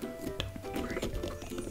Don't break, please.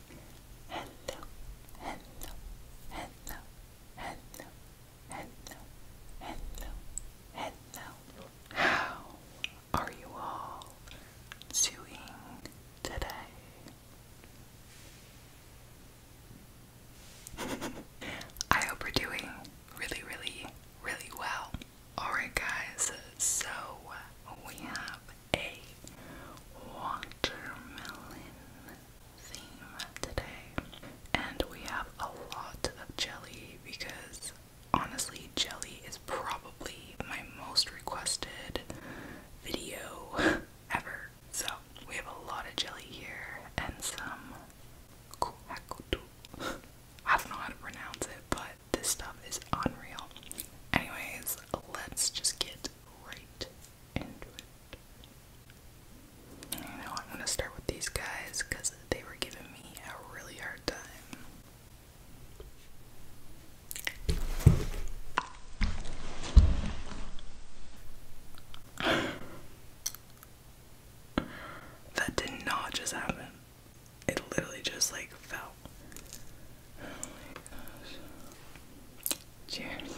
Hello, hello, hello, hello, hello, hello, hello. How are you all doing today? I hope we're doing really, really, really well. Alright, guys, so we have a watermelon theme today. And we have a lot of jelly because honestly, jelly is probably my most requested video ever. So we have a lot of jelly here and some kuhakutu. I don't know how to pronounce it, but this stuff is unreal. Anyways, let's just get right into know, I'm gonna start with these guys because they were giving me a really hard time. that did not just happen. It literally just like fell. Oh Cheers.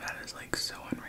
That is like so unreal.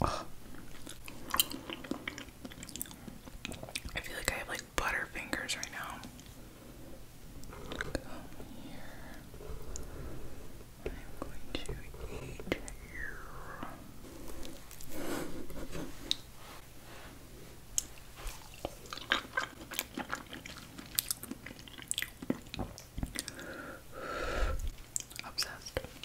I feel like I have like butter fingers right now. Come here. I'm going to eat you. Obsessed.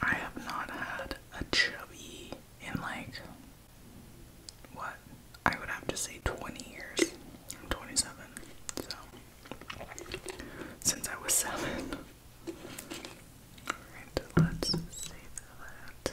I have not had a chubby in like what I would have to say 20 years. i 27, so since I was seven. Alright, let's save that.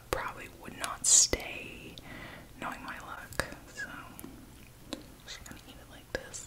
probably would not stay knowing my luck. So just gonna eat it like this.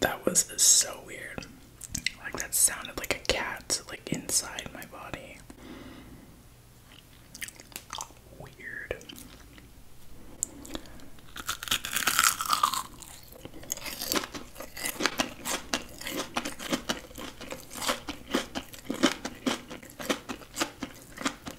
That was so weird. Like, that sounded like a cat, like, inside my body. Weird.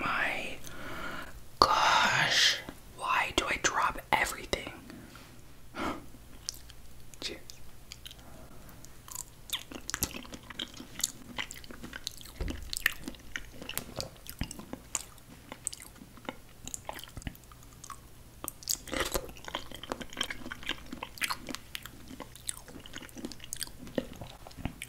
my gosh. Why do I drop everything?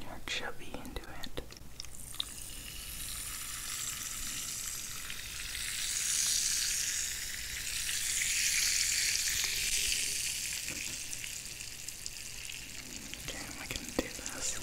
You're chubby into it. Okay, we can do this.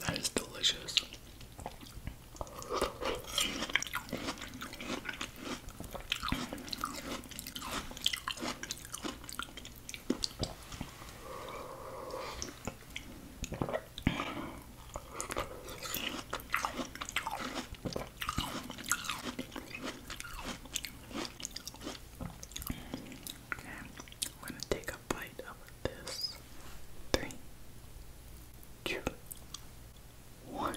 That is delicious. Okay, I'm gonna take a bite of this. Three, two, one.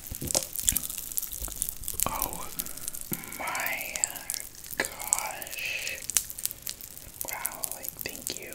Oh my gosh. Wow, thank you.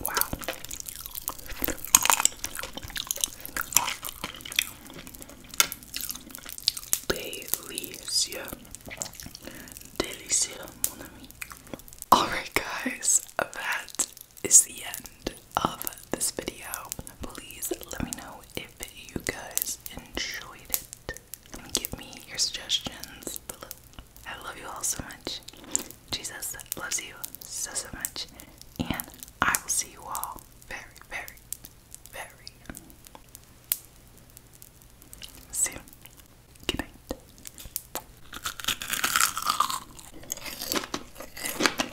Wow. Delicious. Delicious, mon ami. Alright, guys, that is the end of this video. Please let me know if you guys enjoyed it. And give me your suggestions below. I love you all so much. Jesus loves you so, so much. And I will see you all very, very, very soon. Good night.